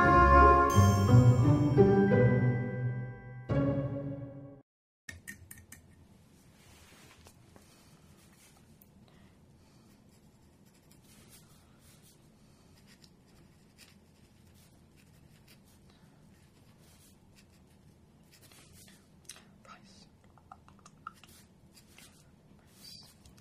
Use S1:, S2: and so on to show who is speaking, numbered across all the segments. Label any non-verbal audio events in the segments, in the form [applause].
S1: Price. Price.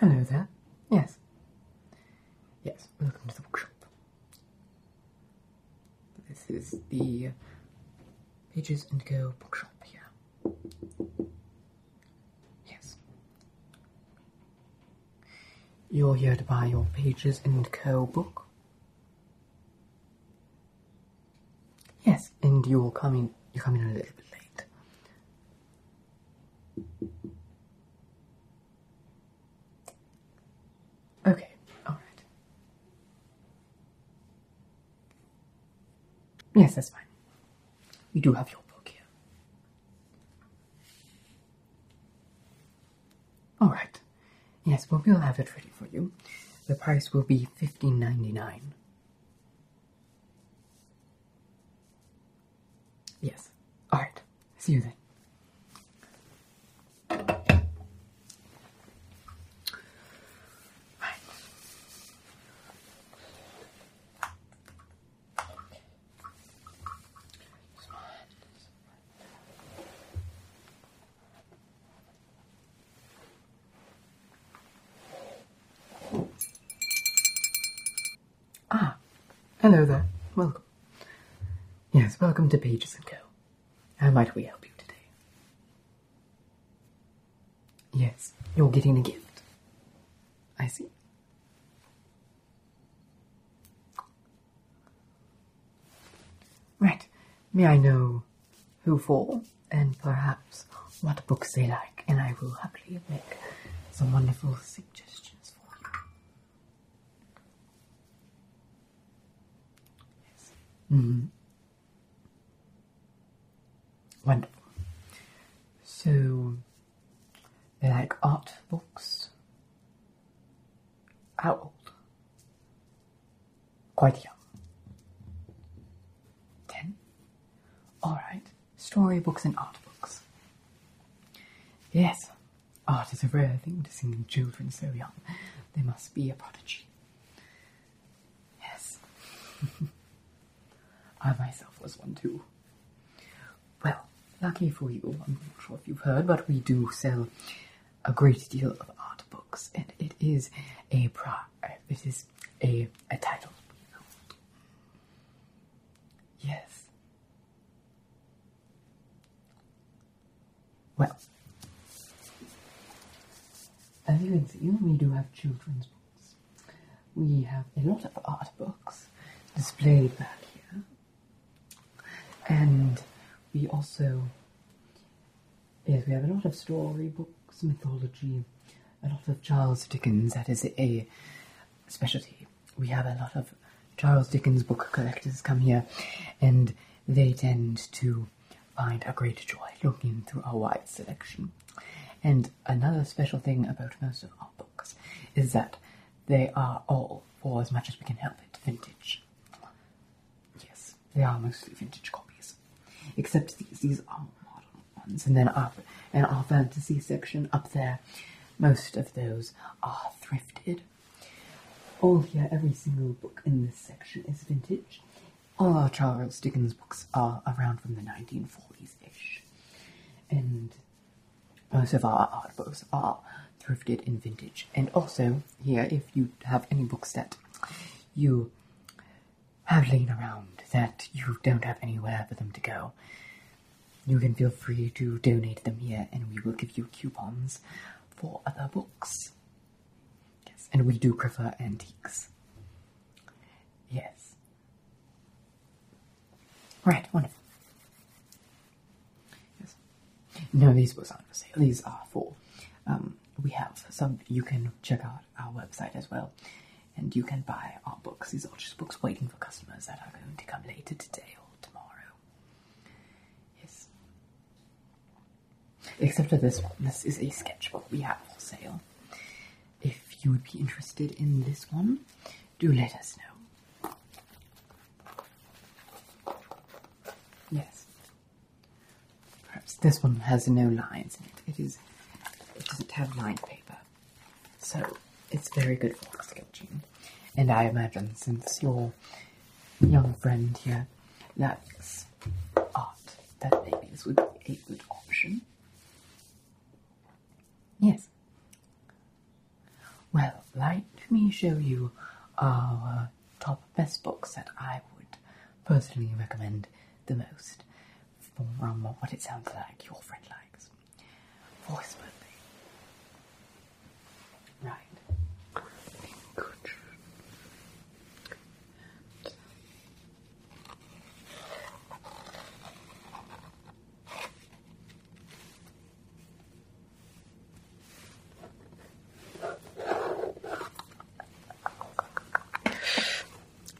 S1: Hello there. Yes. Yes, welcome to the workshop. This is the Pages and Go bookshop here. Yes. You're here to buy your Pages and Co book? Yes, and you are coming. You're coming a little bit late. Okay, all right. Yes, that's fine. We do have your book here. All right. Yes, well, we'll have it ready for you. The price will be fifteen ninety nine. Yes. All right. See you then. Right. Ah, hello there. Welcome. Yes, welcome to Pages and Co. How might we help you today? Yes, you're getting a gift. I see. Right. May I know who for? and perhaps what books they like, and I will happily make some wonderful suggestions for you. Yes. Mm-hmm. Wonderful. So they like art books. How old? Quite young. Ten? Alright storybooks and art books. Yes, art is a rare thing to see in children so young. They must be a prodigy. Yes. [laughs] I myself was one too. Well, lucky for you, I'm not sure if you've heard, but we do sell a great deal of art books, and it is a pri- it is a, a title. Yes. Well, as you can see, we do have children's books. We have a lot of art books displayed back here. And we also, we have a lot of story books, mythology, a lot of Charles Dickens. That is a specialty. We have a lot of Charles Dickens book collectors come here, and they tend to find a great joy looking through our wide selection. And another special thing about most of our books is that they are all, for as much as we can help it, vintage. Yes, they are mostly vintage copies. Except these, these are modern and then up in our fantasy section up there. Most of those are thrifted. Oh, All here, every single book in this section is vintage. All our Charles Dickens books are around from the 1940s ish. And most of our art books are thrifted and vintage. And also, here, if you have any books that you have howling around that you don't have anywhere for them to go. You can feel free to donate them here, and we will give you coupons for other books. Yes, and we do prefer antiques. Yes. Right, wonderful. Yes. No, these books aren't for sale. These are for. Um, we have some. You can check out our website as well and you can buy art books. These are just books waiting for customers that are going to come later today or tomorrow. Yes. Except for this one. This is a sketchbook we have for sale. If you would be interested in this one, do let us know. Yes. Perhaps this one has no lines in it. It is. It doesn't have lined paper. So it's very good for sketching. And I imagine since your young friend here likes art, that maybe this would be a good option. Yes. Well, let me show you our top best books that I would personally recommend the most from what it sounds like your friend likes. Voice birthday. Right. Inclusion.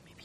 S1: Maybe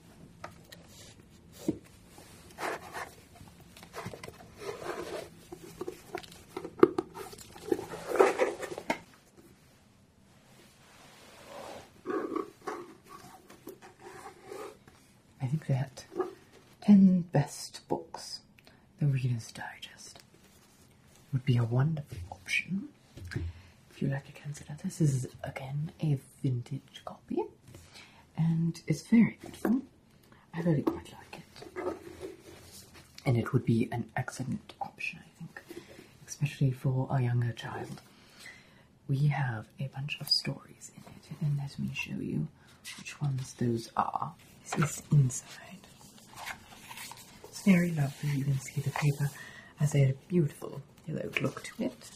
S1: I think that 10 best books. The Reader's Digest would be a wonderful option if you like to consider this, is again a vintage copy, and it's very beautiful. I really quite like it, and it would be an excellent option, I think, especially for a younger child. We have a bunch of stories in it, and let me show you which ones those are. This is inside. It's very lovely. You can see the paper has a beautiful little look to it.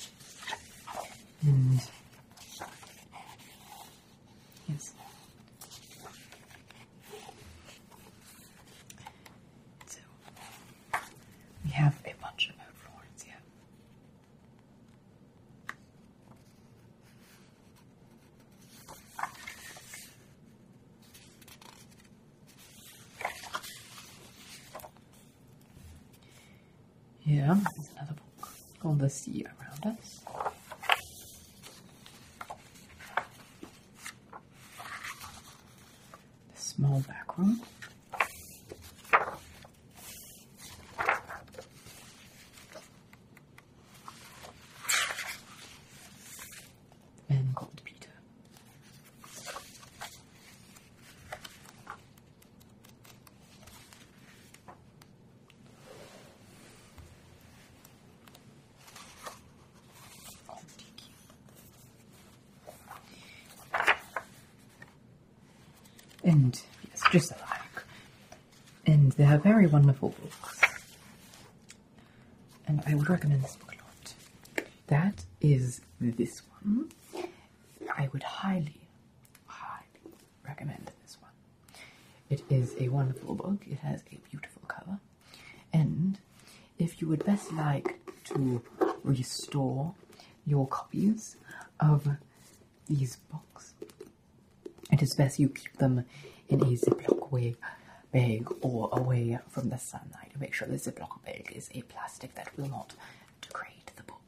S1: Mm. Yes. So we have a bunch about Florence, yeah. Yeah, another book called The Sea Around Us. The Small background. The Man Called Peter. And yes, just like, And they are very wonderful books. And I would recommend this book a lot. That is this one. I would highly, highly recommend this one. It is a wonderful book, it has a beautiful cover, and if you would best like to restore your copies of these books, it is best you keep them in a Ziploc way bag or away from the sunlight. Make sure the Ziploc bag is a plastic that will not degrade the book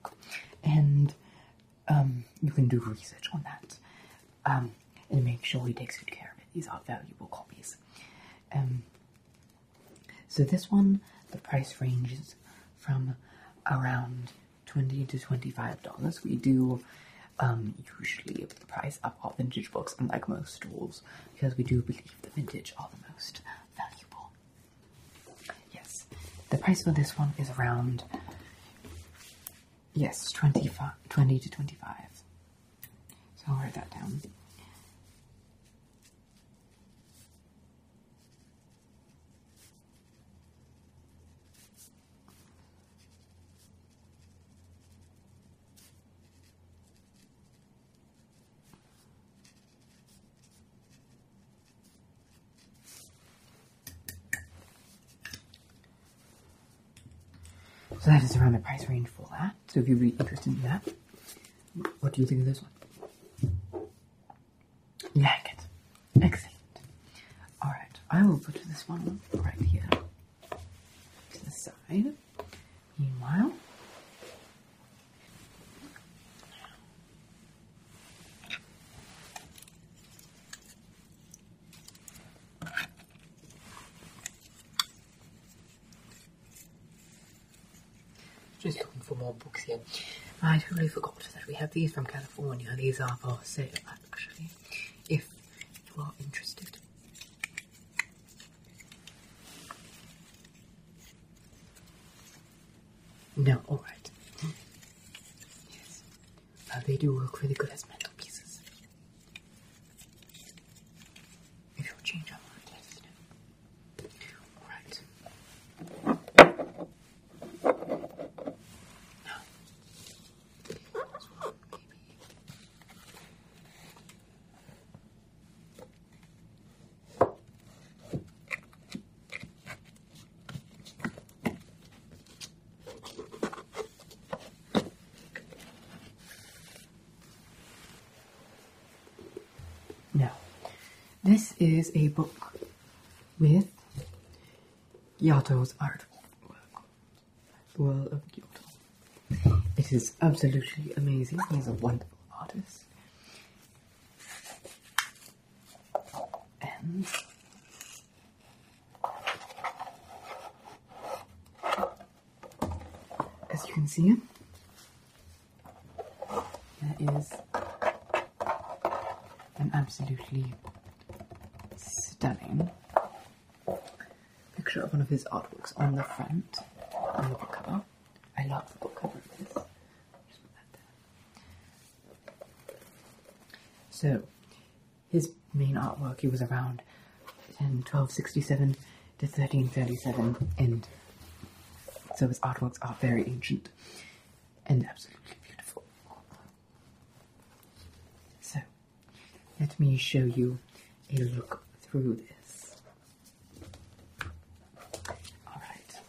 S1: and um, you can do research on that um, and make sure he takes good care of it. These are valuable copies. Um, so this one, the price ranges from around twenty to twenty-five dollars. We do um, usually price up all vintage books, unlike most stores, because we do believe the vintage are the most valuable. Yes, the price for this one is around. Yes, 25, 20 to 25. So I'll write that down. So that is around the price range for that. So if you'd be interested in that, what do you think of this one? Like it. Excellent. Alright, I will put this one right here to the side. Meanwhile, just looking for more books here. I totally forgot that we have these from California. These are for sale, actually, if you are interested. No, alright. Yes. Uh, they do work really good as mental pieces. If you change our Alright. Now, no, this is a book with Giotto's art the world of Giotto. It is absolutely amazing. He's a wonderful artist as you can see, there is an absolutely stunning picture of one of his artworks on the front, on the book cover. I love the book cover so, his main artwork, he was around in 1267 to 1337, and so his artworks are very ancient and absolutely beautiful. So, let me show you a look through this. Alright,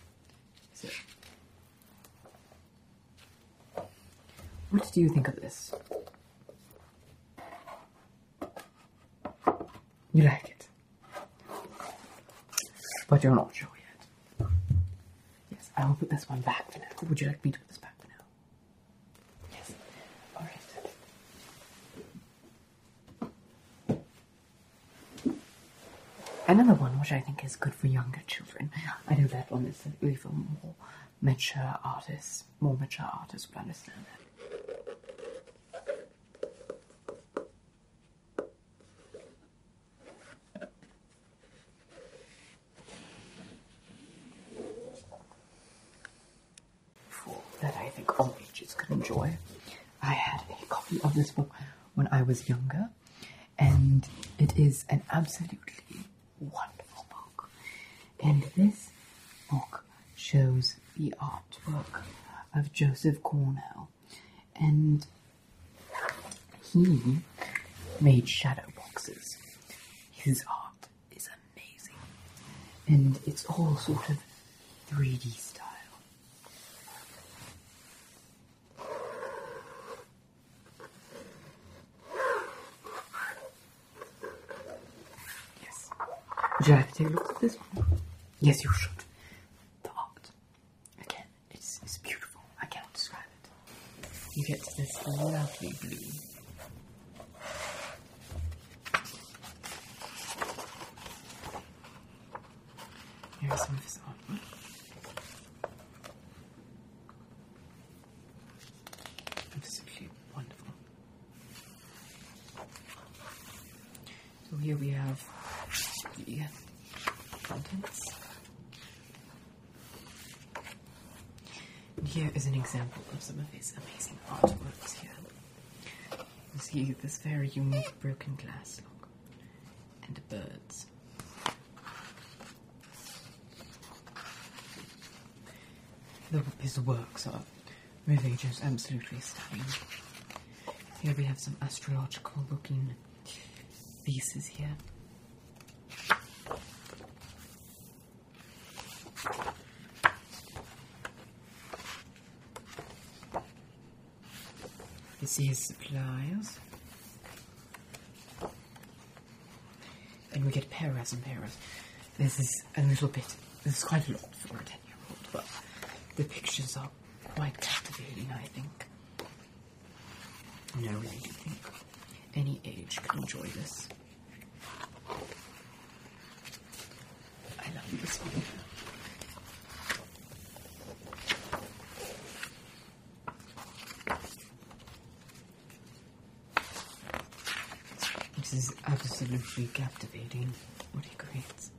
S1: so what do you think of this? You like it. But you're not sure yet. Yes, I will put this one back for now. Would you like me to put this back for now? Yes. Alright. Another one which I think is good for younger children. I know that one is really for more mature artists. More mature artists will understand that. For that I think all ages could enjoy. I had a copy of this book when I was younger, and it is an absolutely wonderful book. And this book shows the artwork of Joseph Cornell, and he made shadow boxes. His art is amazing, and it's all sort of 3D style. Should you have to take a look at this one? Yes, you should. The art. Again, it's, it's beautiful. I cannot describe it. You get this lovely blue. Here's some of his artwork. Absolutely wonderful. So here we have the contents. And here is an example of some of his amazing artworks here. see this very unique broken glass look and birds. The, his works are Mevejo's absolutely stunning. Here we have some astrological looking pieces here. You see his supplies, And we get paras and paras. This is a little bit, this is quite a lot for a 10 year old, but the pictures are quite captivating, I think. No I any age can enjoy this. I love this one. This is absolutely captivating, what he creates.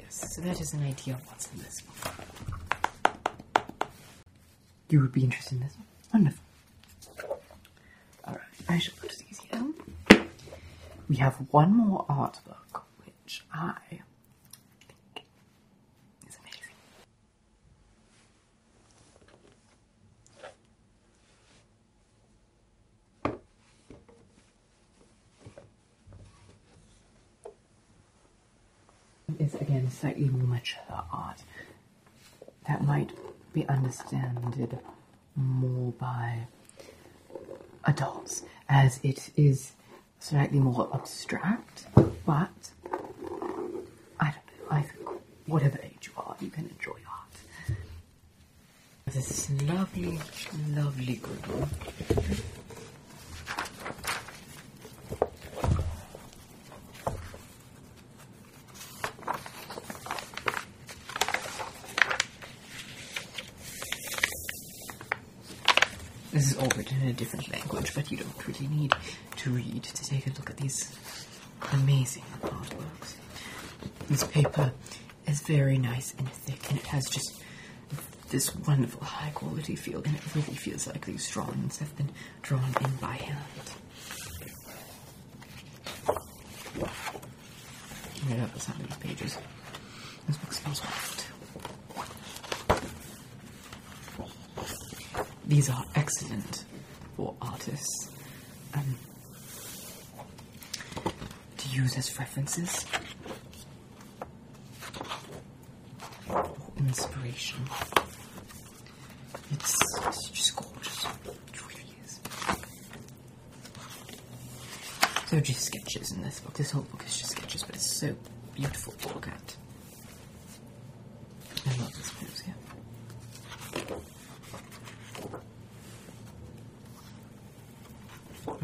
S1: Yes, so that is an idea of what's in this one. You would be interested in this one? Wonderful. Alright, I shall put these down. We have one more art book, which I think is amazing. Is again slightly more mature art that might be understood more by adults, as it is slightly more abstract, but I don't know, I think whatever age you are, you can enjoy art. This is lovely, lovely good one. This is all written in a different language, but you don't really need to read to take a look at these amazing artworks. This paper is very nice and thick, and it has just this wonderful high quality feel, and it really feels like these drawings have been drawn in by hand. Right up at some of these pages. This book smells wonderful these are excellent for artists um, to use as references or inspiration. it's just gorgeous. It really is. They're just sketches in this book. This whole book is just sketches, but it's so beautiful to look at. I love this pose here.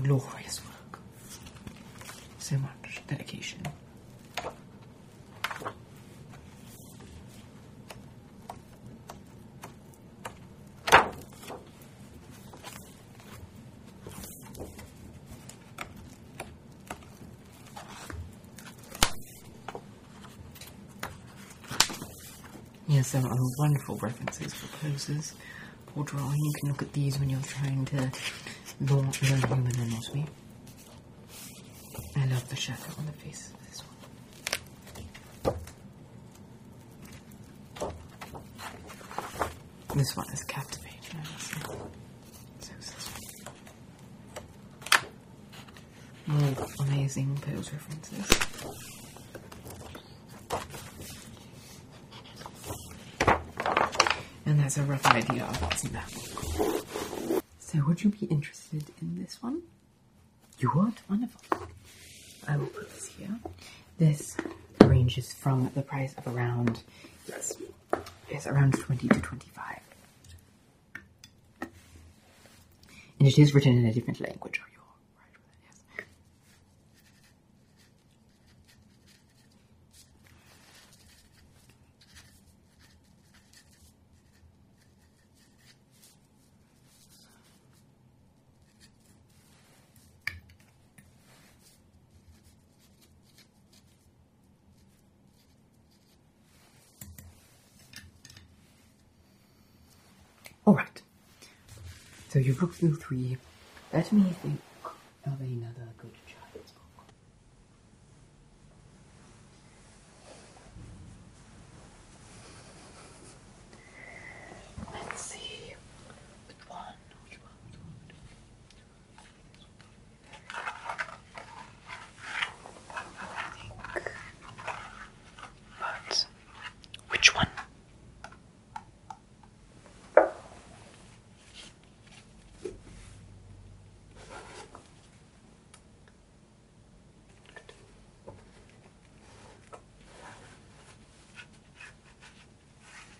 S1: Glorious work. So much dedication. Yes, there are wonderful references for poses for drawing. You can look at these when you're trying to learn human anatomy. I love the shadow on the face of this one. This one is captivating. More amazing Pooh's references. And that's a rough idea So would you be interested in this one? You would? Wonderful. I will put this here. This ranges from the price of around yes, is around twenty to twenty-five. And it is written in a different language, Alright, so you have look through three. Let me think of another good child's Let's see. I think. But which one?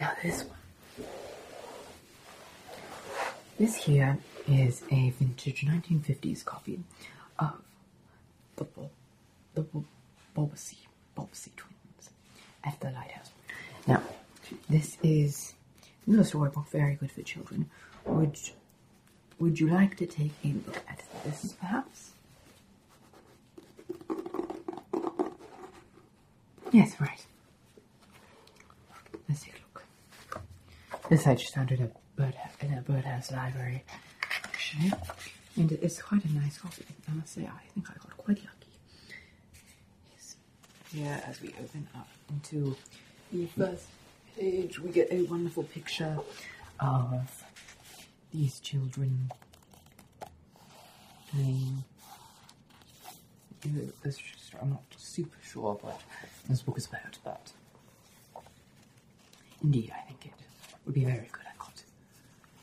S1: Now this one. This here is a vintage 1950s copy of the Bul- the Bul- Bulbasaur, Bulbasaur twins at the lighthouse. Now, this is another storybook very good for children. Would Would you like to take a look at this, perhaps? Yes, right. Let's take a look. This I just found in a bird in a birdhouse library, actually, and it's quite a nice copy. I must say, I think I got quite lucky. Yes. Here, as we open up into the first page, we get a wonderful picture of these children. Um, I'm not super sure, but this book is about But, Indeed, I think it would be very good.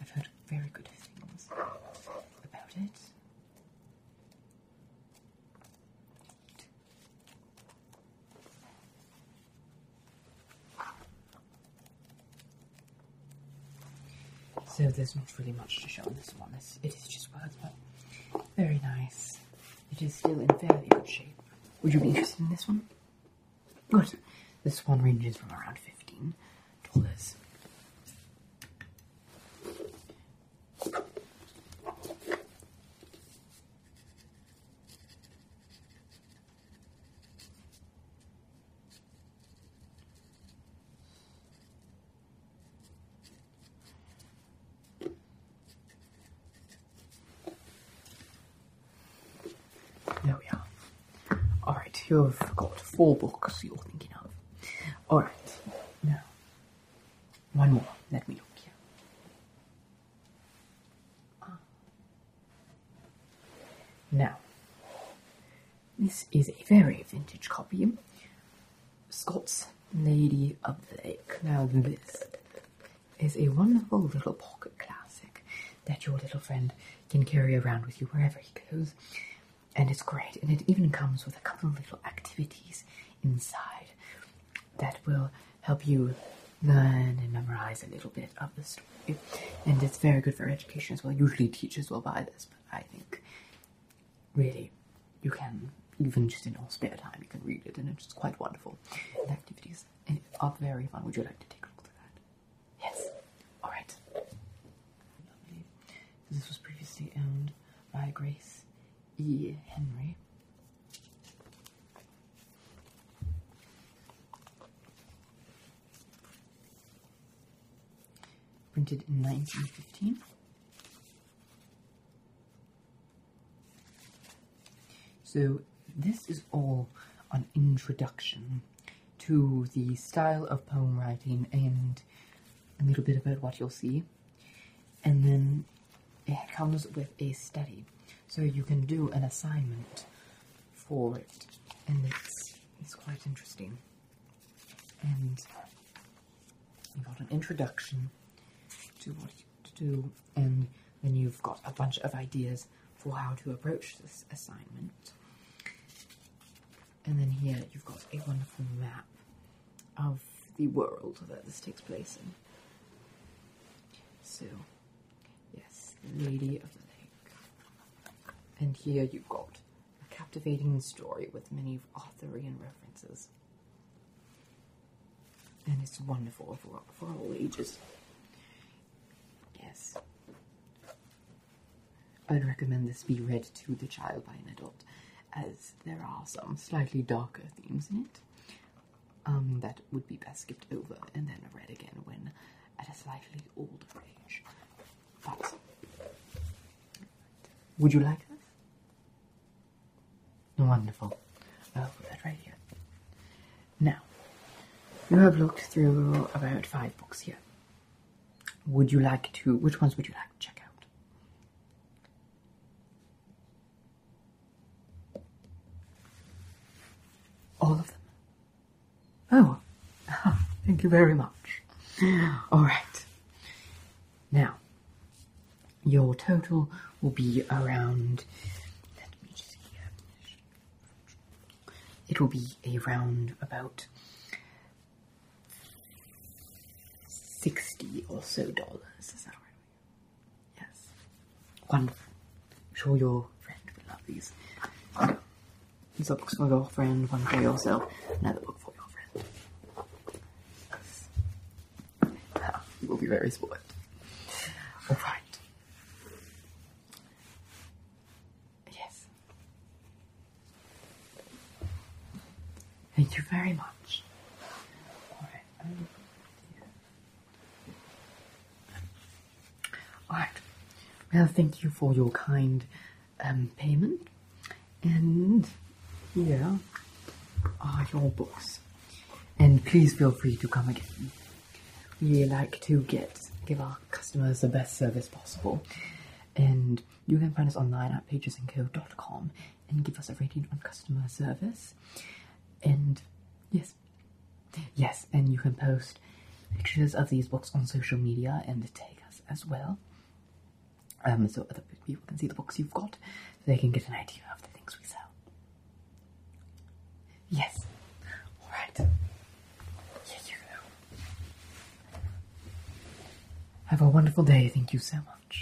S1: I've heard very good things about it. So there's not really much to show in this one. It's, just words, but very nice. It is still in fairly good shape. Would you be interested in this one? Good. This one ranges from around fifteen dollars. There we are. Alright, you've got four books you're thinking of. Alright, now, one more. Let me look here. Ah. Now, this is a very vintage copy. Scott's Lady of the Lake. Now, this is a wonderful little pocket classic that your little friend can carry around with you wherever he goes. And it's great. And it even comes with a couple of little activities inside that will help you learn and memorize a little bit of the story. And it's very good for education as well. Usually teachers will buy this, but I think really you can even just in your spare time you can read it and it's quite wonderful. The activities are very fun. Would you like to take a look at that? Yes. Alright. This was previously owned by Grace E. Henry. Printed in 1915. So, this is all an introduction to the style of poem writing and a little bit about what you'll see. And then it comes with a study. So you can do an assignment for it, and it's it's quite interesting. And you've got an introduction to what to do, and then you've got a bunch of ideas for how to approach this assignment. And then here you've got a wonderful map of the world that this takes place in. So. Yes, Lady of the Lake. And here you've got a captivating story with many Arthurian references. And it's wonderful for, for all ages. Yes. I'd recommend this be read to the child by an adult, as there are some slightly darker themes in it um, that would be best skipped over and then read again when at a slightly older age. But would you like this? Wonderful. i put that right here. Now, you have looked through about five books here. Would you like to? Which ones would you like to check out? All of them? Oh, ah, thank you very much. All right. Now, your total will be around. Let me see. It will be around about sixty or so dollars. Is that right? Yes. Wonderful. I'm sure your friend will love these. These are books for your friend, one for yourself, another book for your friend. You will be very spoiled. Alright. Yes. Thank you very much. All right. Well, thank you for your kind um, payment. And yeah, are your books. And please feel free to come again. We like to get give our customers the best service possible. And you can find us online at pagesandco.com and give us a rating on customer service. And yes, Yes, and you can post pictures of these books on social media and tag us as well. Um, so other people can see the books you've got, so they can get an idea of the things we sell. Yes. All right. Here you go. Have a wonderful day. Thank you so much.